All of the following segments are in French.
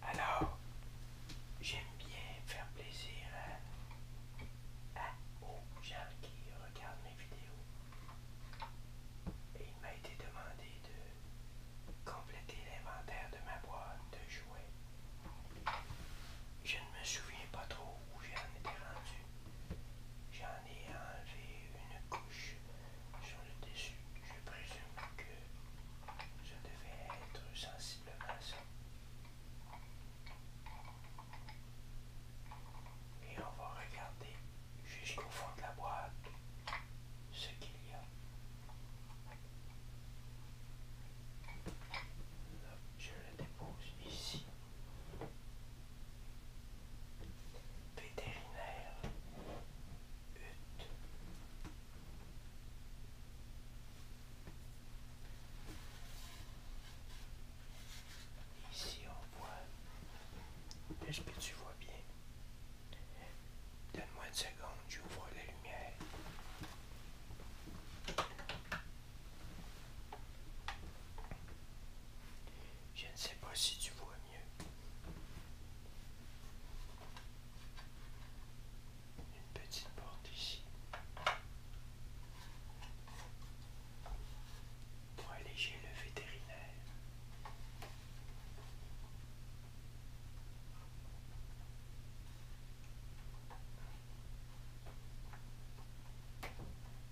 Alors, j'aime bien faire plaisir à, aux gens qui regardent mes vidéos. Et il m'a été demandé de compléter l'inventaire de ma boîte de jouets. Je ne me souviens pas trop où j'en étais rendu. J'en ai enlevé une couche sur le dessus. Je présume que je devais être sensiblement ça. Et on va regarder jusqu'au fond de la boîte ce qu'il y a. Là, je le dépose ici. Vétérinaire Hutte Ici on voit, est-ce que tu vois bien? Donne-moi une seconde, j'ouvre la lumière. Je ne sais pas si tu vois mieux. Une petite porte ici. Pour alléger le vétérinaire.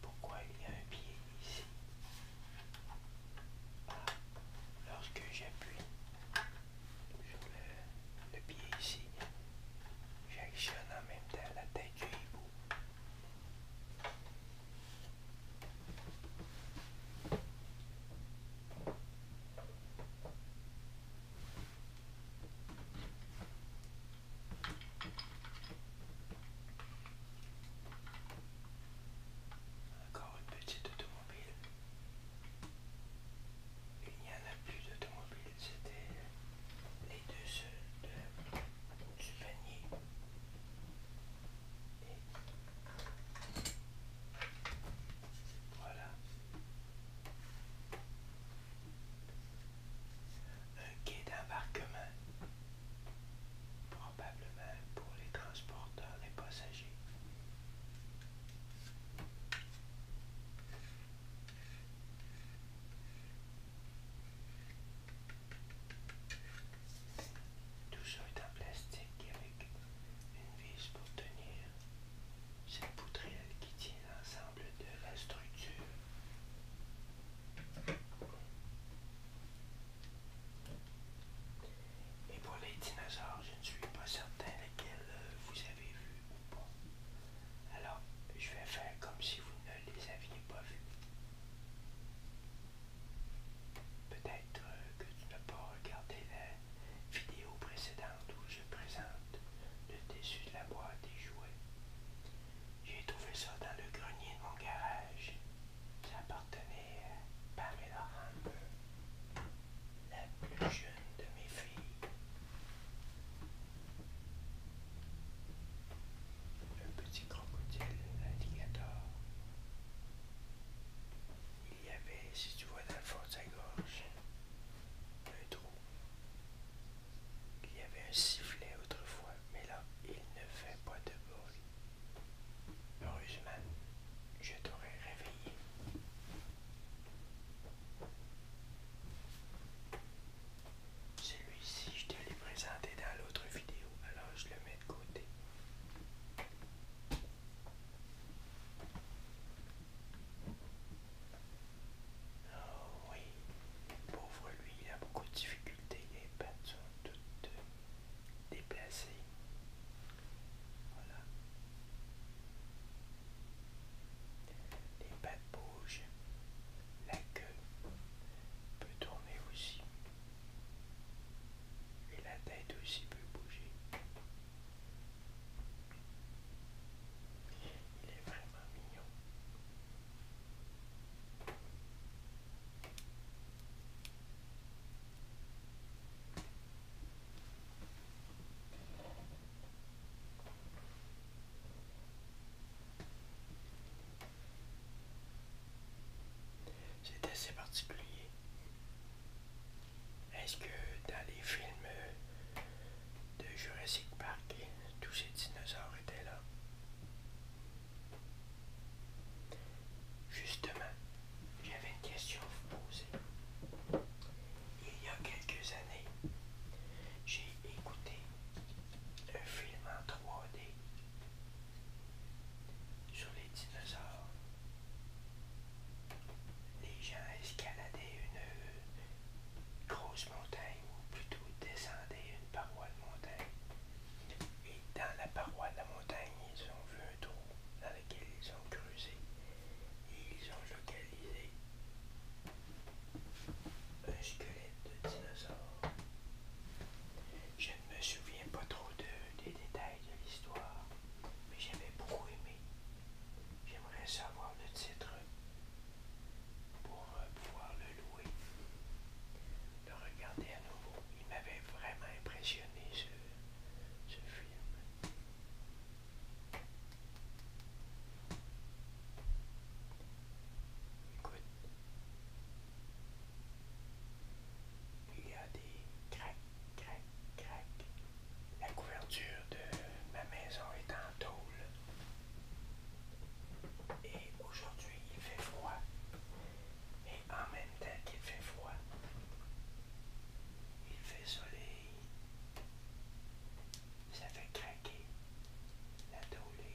Pourquoi il y a un pied ici ah, Lorsque j'appuie sur le, le pied ici, j'actionne en même temps la tête du hibou. Encore une petite automobile. Il n'y en a plus d'automobile, c'était les deux seuls du panier. Et voilà. Un quai d'embarquement, probablement pour les transporteurs les passagers. Tout ça est en plastique avec une vis pour tenir cette poutrelle qui tient l'ensemble de la structure. Et pour les dinosaures, je ne suis pas certain lesquels euh, vous avez vu ou pas. Alors, je vais faire comme si vous ne les aviez pas vus. Peut-être euh, que tu n'as pas regardé la vidéo précédente où je présente le dessus de la boîte des jouets. J'ai trouvé ça dans le grenier de mon garage. Ça appartenait à Pamela Hamber, la plus jeune de mes filles. Un petit crocodile, alligator. Il y avait, si tu vois dans le fond de sa gorge, un trou. Il y avait un sifflet autrefois, mais là, il ne fait pas de bruit. Heureusement, je t'aurais réveillé. Celui-ci, je te l'ai présenté dans l'autre vidéo, alors je le mets de côté. Oh oui, pauvre lui, il a beaucoup de difficultés, les pattes sont toutes déplacées. Voilà. Les pattes bougent, la queue peut tourner aussi, et la tête aussi peut bouger. Il est vraiment mignon. C'est assez particulier. Est-ce que dans les films euh, de Jurassic Park, tous ces dinosaures étaient là? Justement, j'avais une question à vous poser. Il y a quelques années, j'ai écouté un film en 3D sur les dinosaures les gens escaladaient une euh, grosse montagne, ou plutôt descendaient une paroi de montagne. Et dans la paroi de la montagne, ils ont vu un trou dans lequel ils ont creusé et ils ont localisé un squelette de dinosaure. Je ne me souviens pas trop des détails de l'histoire, mais j'avais beaucoup aimé J'aimerais savoir le titre pour euh, pouvoir le louer, le regarder à nouveau. Il m'avait vraiment impressionné ce, film. Écoute, il y a des craques Crac, crac. La couverture de ma maison est en tôle. Et aujourd'hui, il fait froid. et en même temps qu'il fait froid, il fait soleil. Ça fait craquer la tôle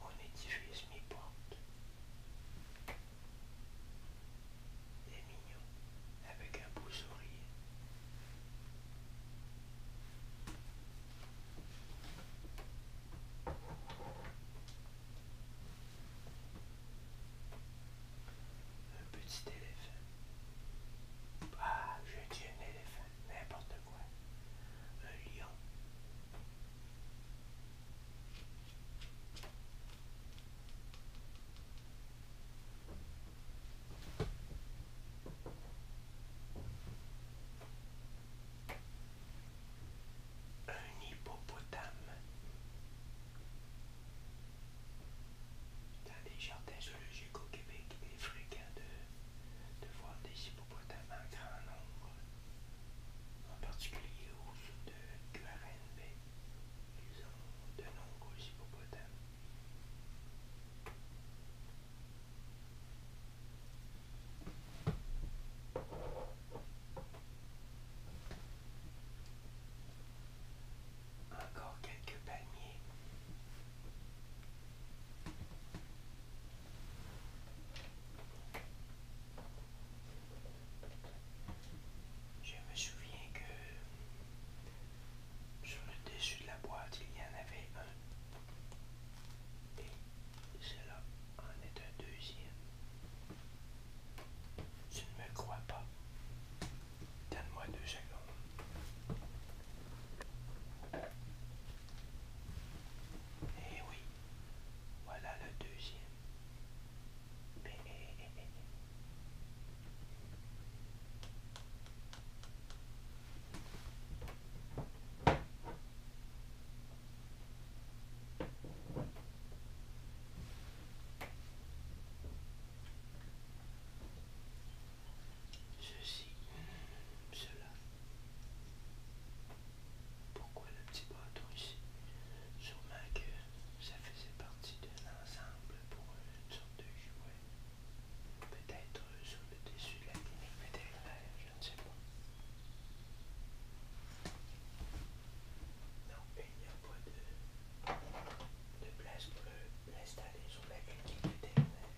on mon édifice, mes portes. Des mignon avec un beau sourire. Un petit éléphant. Ah, je dis un éléphant, n'importe quoi. Un lion. Un hippopotame dans les jardins zoologiques au Québec, il est fréquent de, voir des hippopotames en grand nombre, en particulier au sud de QRNB. Ils ont de nombreux hippopotames. Encore quelques paniers. Je me souviens que sur le dessus de la boîte, il y en avait un. Et cela en est un deuxième. Tu ne me crois pas. Donne-moi deux secondes. Et eh oui, voilà le deuxième. Ceci, cela. Pourquoi le petit bâton ici Sur ma gueule ça faisait partie d'un ensemble pour une sorte de jouet. Peut-être sur le dessus de la clinique vétérinaire, je ne sais pas. Non, il n'y a pas de, place pour l'installer sur la clinique vétérinaire.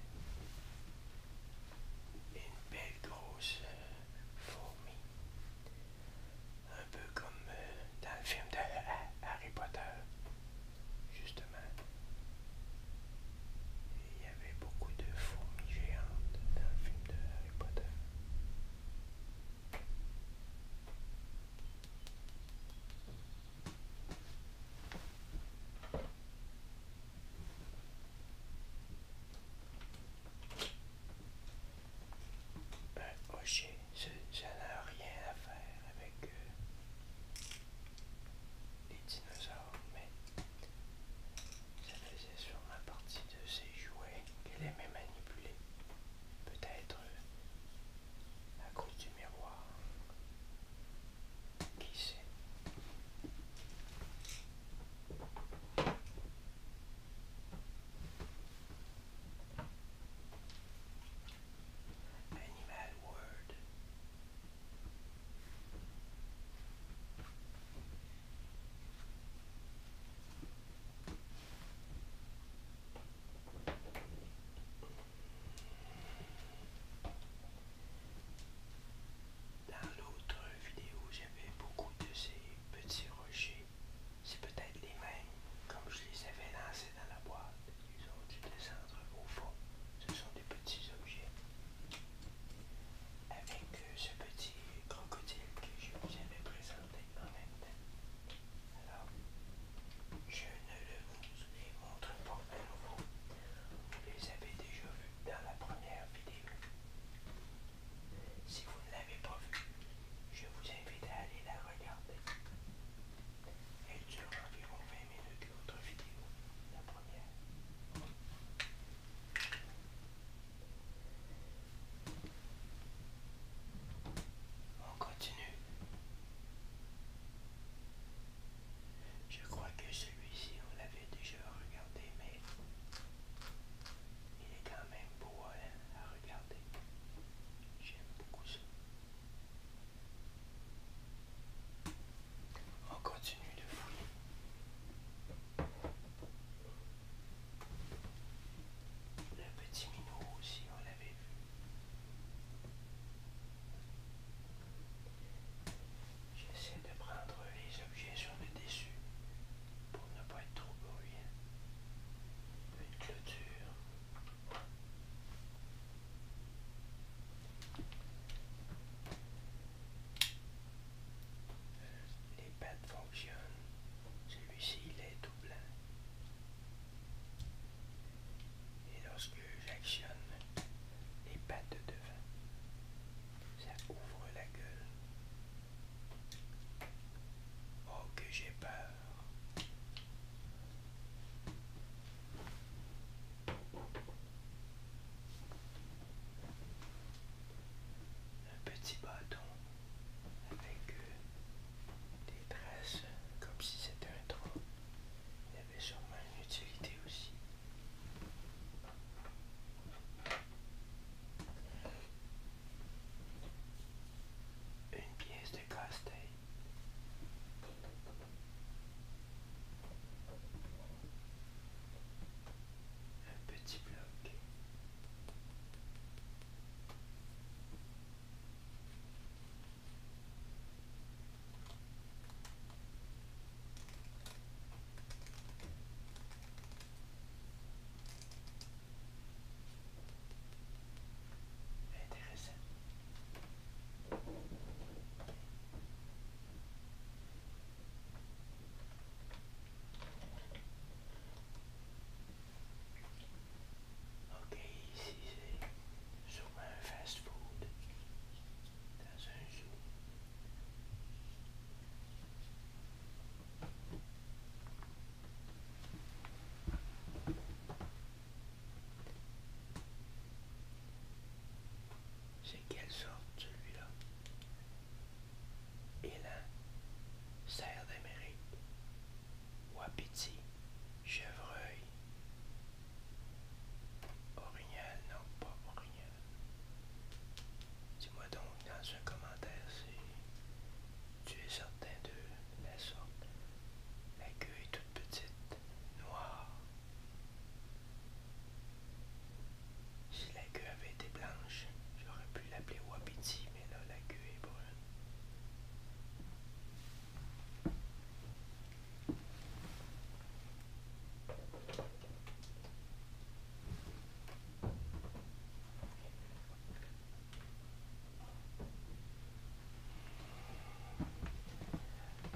Une belle grosse euh, fourmi un peu comme euh, dans le film de Harry Potter, justement. Il y avait beaucoup de fourmis géantes dans le film de Harry Potter. Un ben, rocher ça n'a rien à faire avec euh, les dinosaures, mais ça faisait sûrement partie de ces jouets qu'elle aimait manipuler. Peut-être euh, à cause du miroir. Qui sait? Dans l'autre vidéo, j'avais beaucoup de ces petits rochers c'est peut-être les mêmes, comme je les avais lancés dans la boîte. Ils ont du descendre au fond. Ce sont des petits objets. Avec euh, ce petit crocodile que je vous avais présenté en même temps. Alors, je ne le les montre pas à nouveau. Vous les avez déjà vus dans la première vidéo. Si vous ne l'avez pas vu, je vous invite à aller la regarder. Elle dure environ 20 minutes, votre vidéo, la première. On continue. Je crois que celui-ci, on l'avait déjà regardé, mais il est quand même beau hein, Regardez, J'aime beaucoup ça. On continue de fouiller. Le petit minot aussi, on l'avait vu. J'essaie de prendre les objets sur le dessus pour ne pas être trop bruyant. Une clôture. Euh, les pattes fonctionnent. Celui-ci, il est tout blanc. Et lorsque j'actionne les pattes de devant, ça ouvre la gueule. Oh que j'ai peur. Un petit bâton avec euh, des tresses comme si c'était un trou. Il avait sûrement une utilité aussi. Une pièce de casse Un petit bloc. Intéressant. Ok, ici c'est sûrement un fast-food C'est quelle sorte celui-là Élan, cerf d'Amérique, wapiti, chevreuil, orignal, non pas orignal. Euh, dis-moi donc dans un commentaire si tu es certain de la sorte. La queue est toute petite, noire. Si la queue avait été blanche, j'aurais pu l'appeler Wapiti, mais là la queue est brune. Dans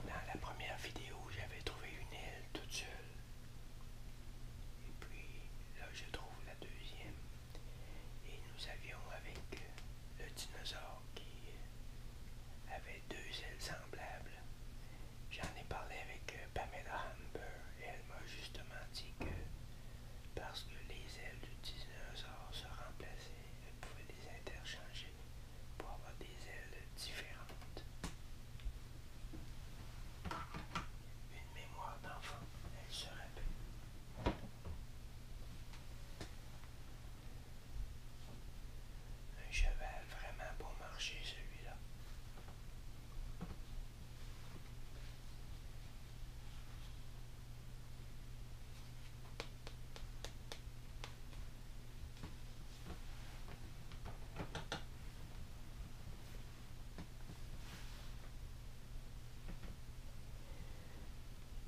la première vidéo, j'avais trouvé une aile toute seule. Et puis là, je trouve la deuxième. Et nous avions avec le dinosaure qui avait deux ailes semblables J'en ai parlé avec euh, Pamela Humber et elle m'a justement dit que parce que les ailes du dinosaure se remplaçaient, elle pouvait les interchanger pour avoir des ailes différentes. Une mémoire d'enfant, elle se rappelle. Un cheval vraiment pour marcher celui-là.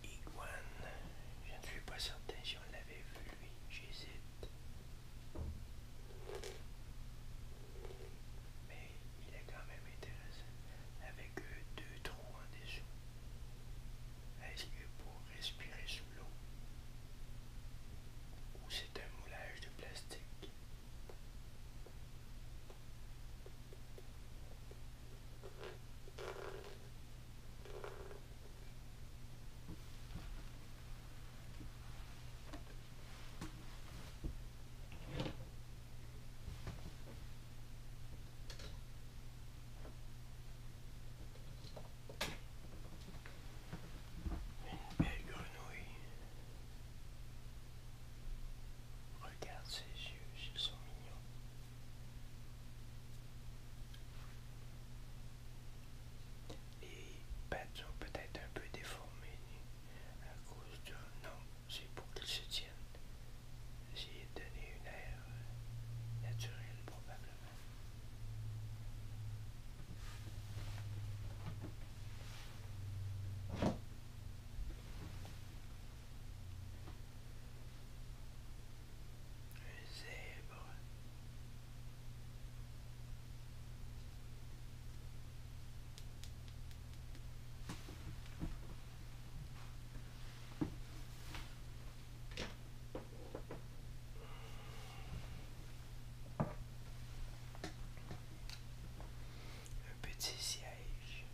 Iguane, je ne suis pas certain si on vu j'hésite. Mais il est quand même intéressant avec deux trous en dessous. Est-ce que pour respirer sous l'eau ou c'est un moulage de plastique? Une belle grenouille. Regarde ses yeux, ils sont mignons. Les pattes sont peut-être un peu déformées à cause de non, C'est pour qu'ils se tiennent. J'ai donné une aire naturelle probablement. Un zèbre. Un petit siège.